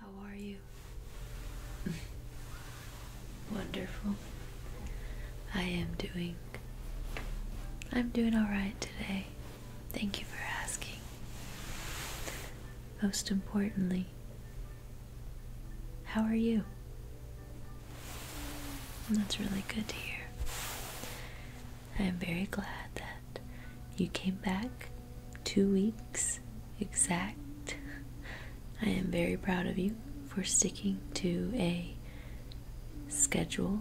How are you? Wonderful. I am doing. I'm doing alright today. Thank you for asking. Most importantly, how are you? That's really good to hear. I am very glad that you came back two weeks exact. I am very proud of you for sticking to a schedule.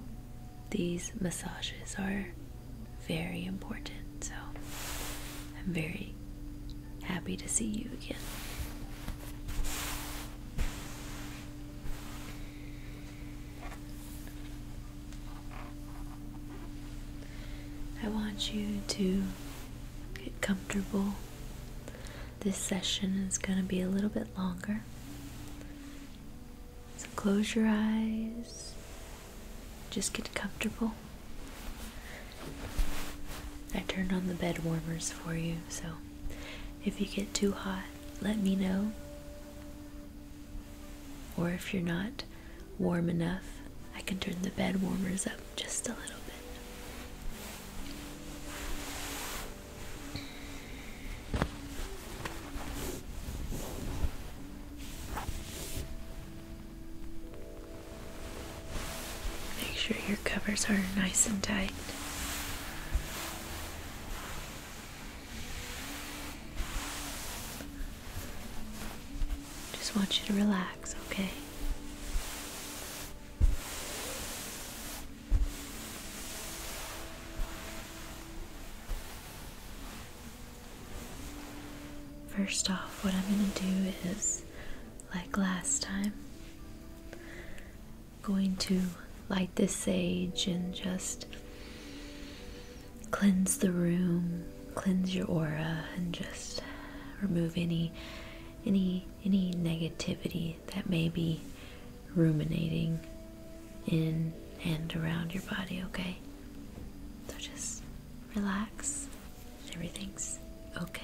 These massages are very important, so I'm very happy to see you again. I want you to get comfortable. This session is going to be a little bit longer. So close your eyes, just get comfortable. I turned on the bed warmers for you, so if you get too hot, let me know. Or if you're not warm enough. I can turn the bed warmers up just a little bit. Make sure your covers are nice and tight. Just want you to relax relax, okay? First off, what I'm going to do is, like last time, going to light this sage and just cleanse the room cleanse your aura and just remove any any any negativity that may be ruminating in and around your body okay so just relax everything's okay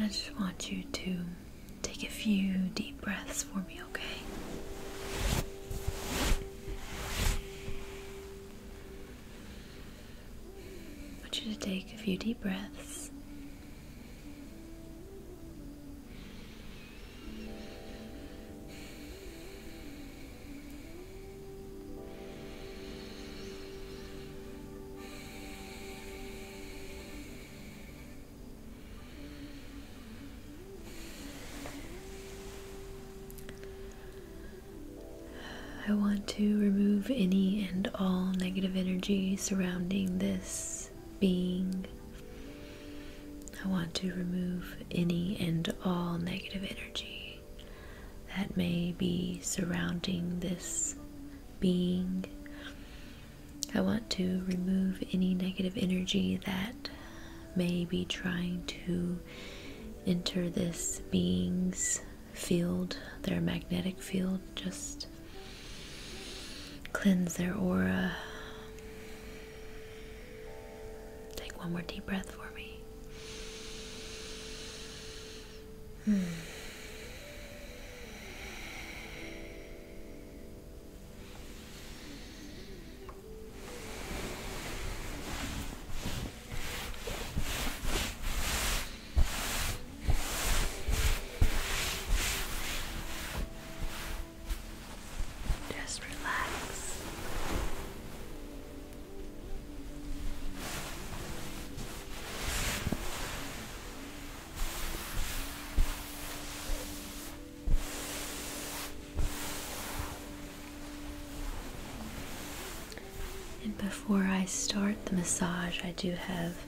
I just want you to take a few deep breaths for me, okay? I want you to take a few deep breaths I want to remove any end all negative energy surrounding this being. I want to remove any and all negative energy that may be surrounding this being. I want to remove any negative energy that may be trying to enter this being's field, their magnetic field, just Cleanse their aura. Take one more deep breath for me. Hmm. Just relax. And before I start the massage, I do have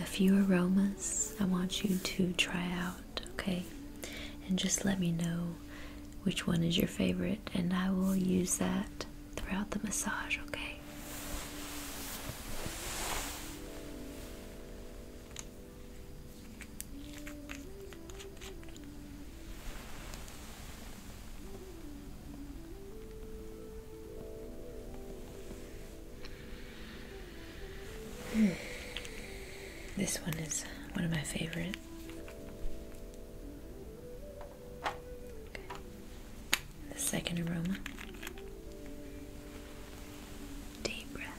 a few aromas I want you to try out, okay? And just let me know which one is your favorite, and I will use that throughout the massage, okay? This one is one of my favorite. The second aroma. Deep breath.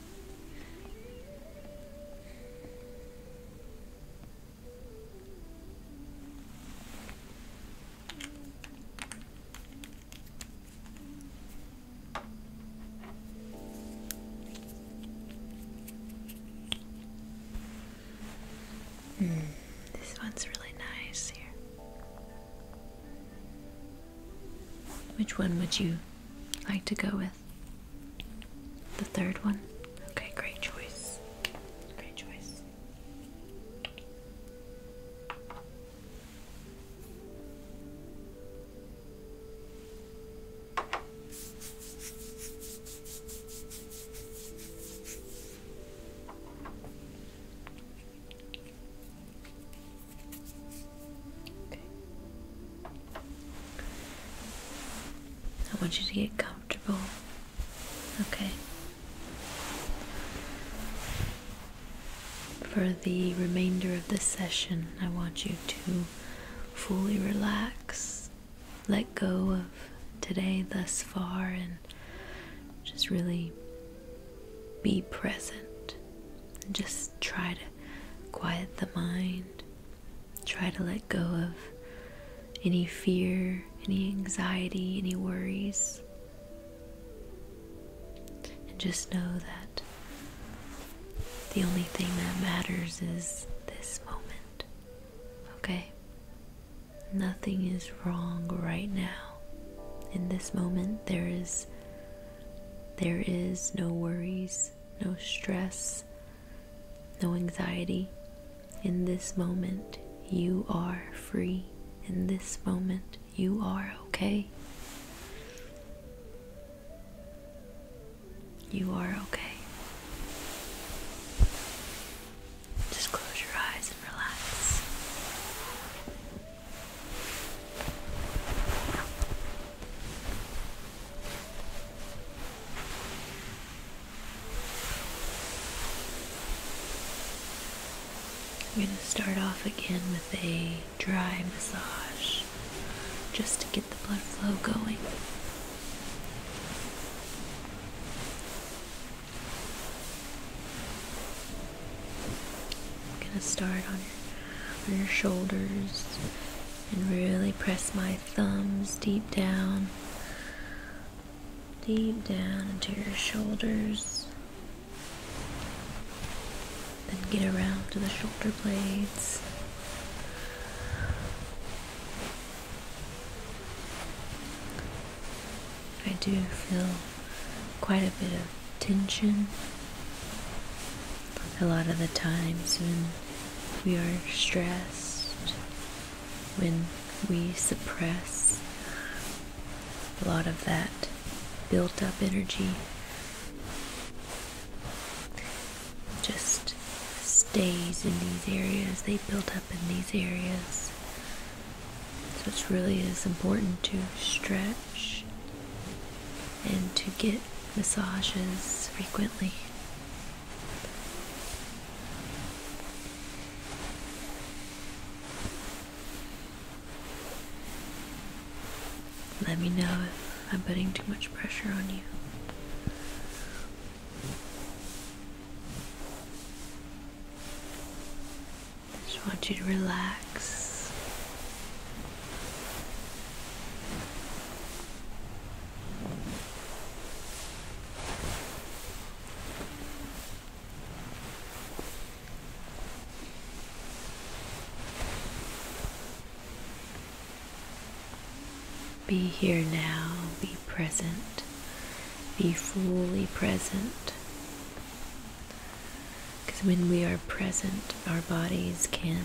Mm, this one's really nice here. Which one would you like to go with? The third one? Okay, great choice. Great choice. I want you to get comfortable. Okay. For the remainder of this session, I want you to fully relax, let go of today thus far, and just really be present. And just try to quiet the mind, try to let go of any fear, any anxiety, any worries. And just know that the only thing that matters is this moment, okay? Nothing is wrong right now. In this moment, there is there is no worries, no stress, no anxiety. In this moment, you are free. In this moment, you are okay. You are okay. Just close your eyes and relax. I'm going to start off again with a dry massage just to get the blood flow going. I'm gonna start on your, on your shoulders and really press my thumbs deep down, deep down into your shoulders. Then get around to the shoulder blades. I do feel quite a bit of tension a lot of the times when we are stressed, when we suppress a lot of that built up energy. Just stays in these areas, they built up in these areas. So it really is important to stretch and to get massages frequently. Let me know if I'm putting too much pressure on you. I just want you to relax. Be here now, be present, be fully present. Because when we are present, our bodies can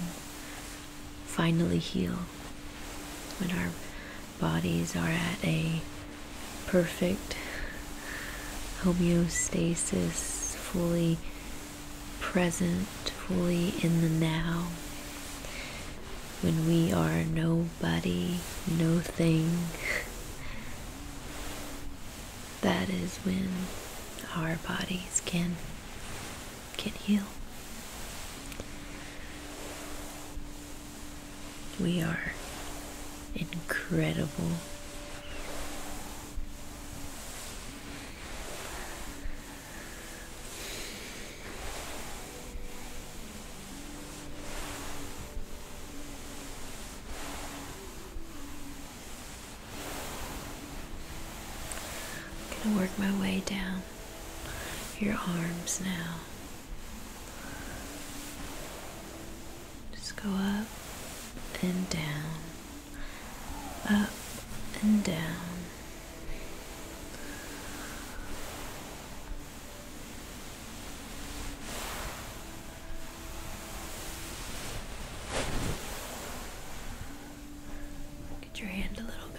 finally heal. When our bodies are at a perfect homeostasis, fully present, fully in the now. When we are nobody, no thing, that is when our bodies can can heal. We are incredible I'm going to work my way down your arms now. Just go up and down up and down. Get your hand a little bit.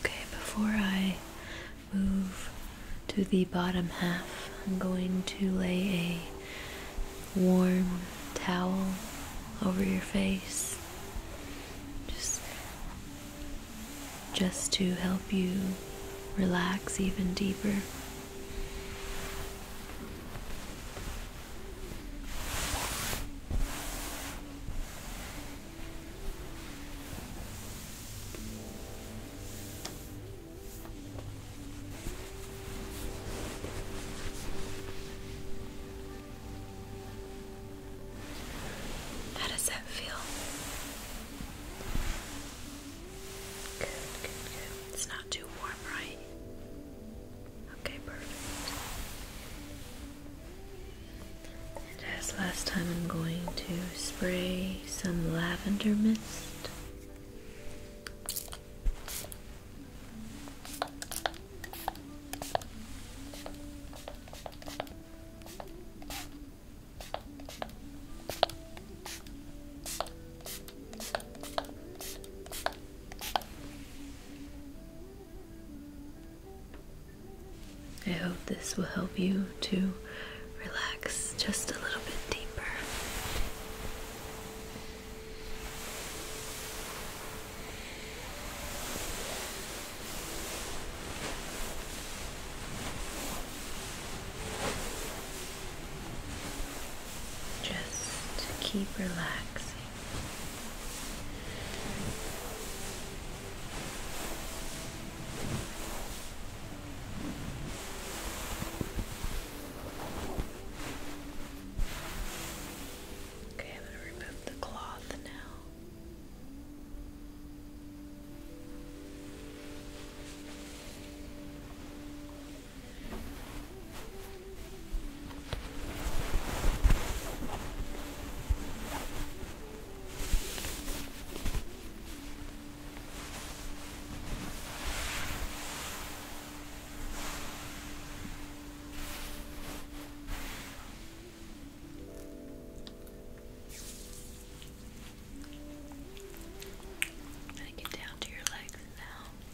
Okay, before I move to the bottom half, I'm going to lay a warm towel over your face just just to help you relax even deeper how does that feel? Good, good, good. It's not too warm, right? Okay, perfect. as last time, I'm going to spray some lavender mist. I hope this will help you to relax just a little bit deeper just to keep relaxing. Okay, I'm going to remove the cloth now. I'm gonna get down to your legs now.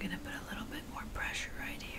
I'm gonna put a little bit more pressure right here.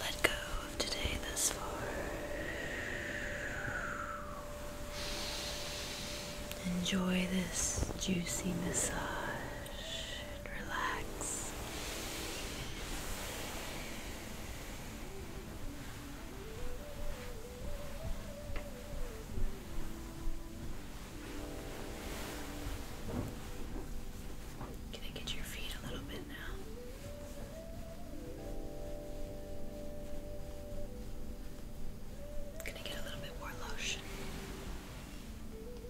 Let go of today thus far. Enjoy this juicy massage relax. Can I get your feet a little bit now? Gonna get a little bit more lotion.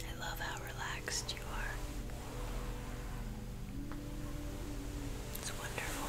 I love how relaxed you are. It's wonderful.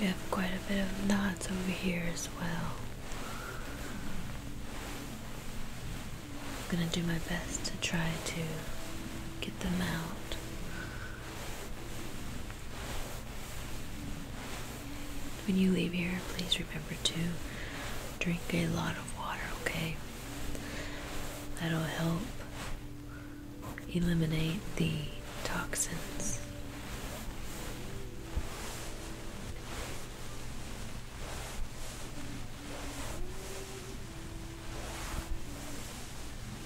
We have quite a bit of knots over here as well. I'm gonna do my best to try to get them out. When you leave here, please remember to drink a lot of water, okay? That'll help eliminate the toxins.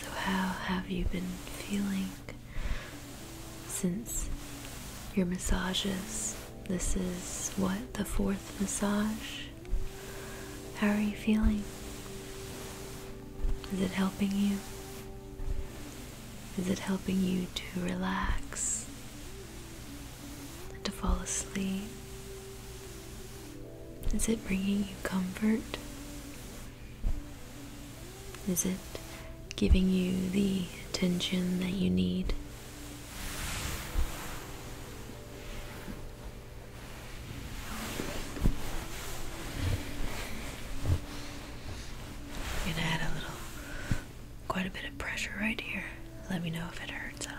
So, how have you been feeling since your massages? This is what the fourth massage. How are you feeling? Is it helping you? Is it helping you to relax? to fall asleep? Is it bringing you comfort? Is it giving you the attention that you need? gonna add a little quite a bit of pressure right here. Let me know if it hurts at all.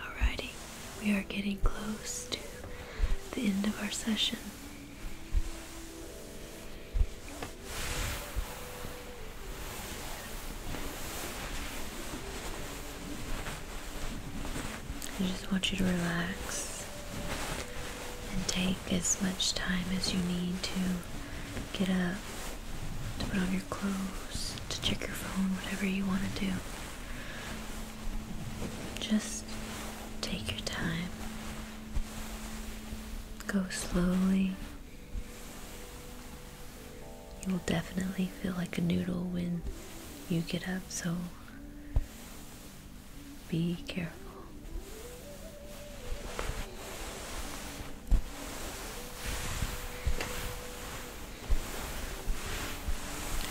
Alrighty, we are getting close to the end of our session. I just want you to relax and take as much time as you need to get up, to put on your clothes, to check your phone, whatever you want to do. Just take your time. Go slowly. You will definitely feel like a noodle when you get up, so be careful.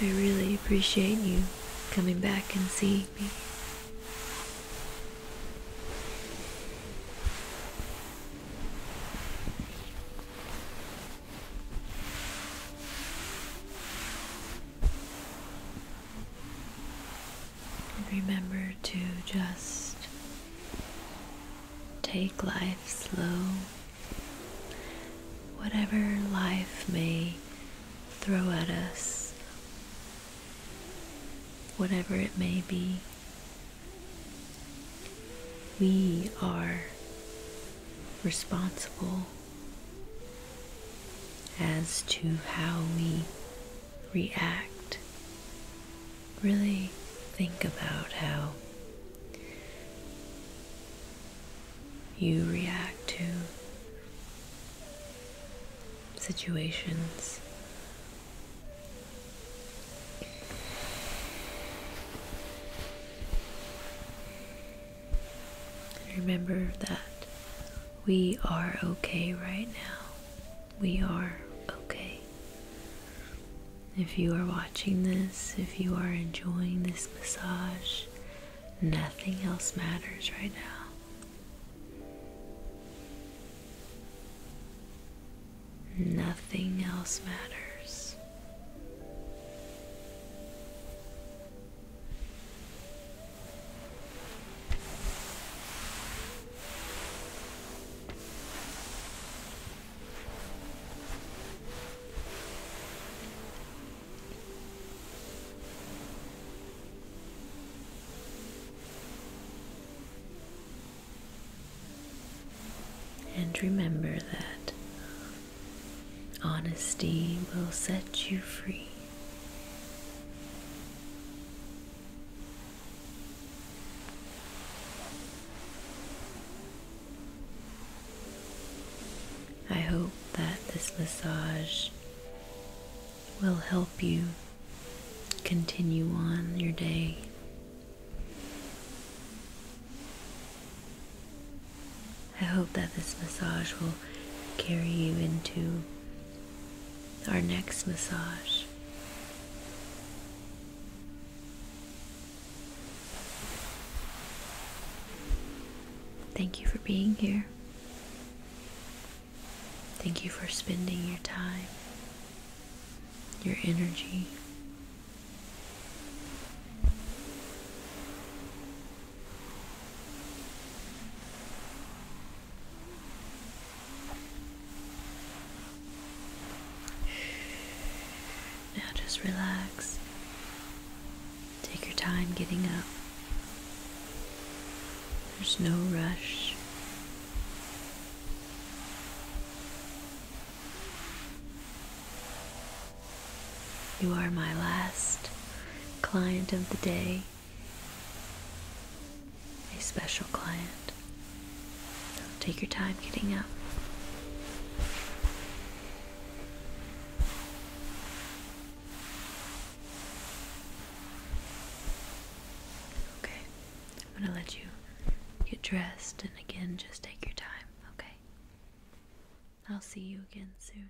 I really appreciate you coming back and seeing me remember to just take life slow. Whatever life may throw at us, whatever it may be, we are responsible as to how we react. Really think about how you react to situations remember that we are okay right now. We are okay. If you are watching this, if you are enjoying this massage, nothing else matters right now. Nothing else matters. And remember that honesty will set you free. I hope that this massage will help you continue on your day. I hope that this massage will carry you into our next massage. Thank you for being here. Thank you for spending your time, your energy. Now just relax. Take your time getting up. There's no rush. You are my last client of the day a special client. take your time getting up. Okay, I'm gonna let you get dressed and again just take your time, okay? I'll see you again soon.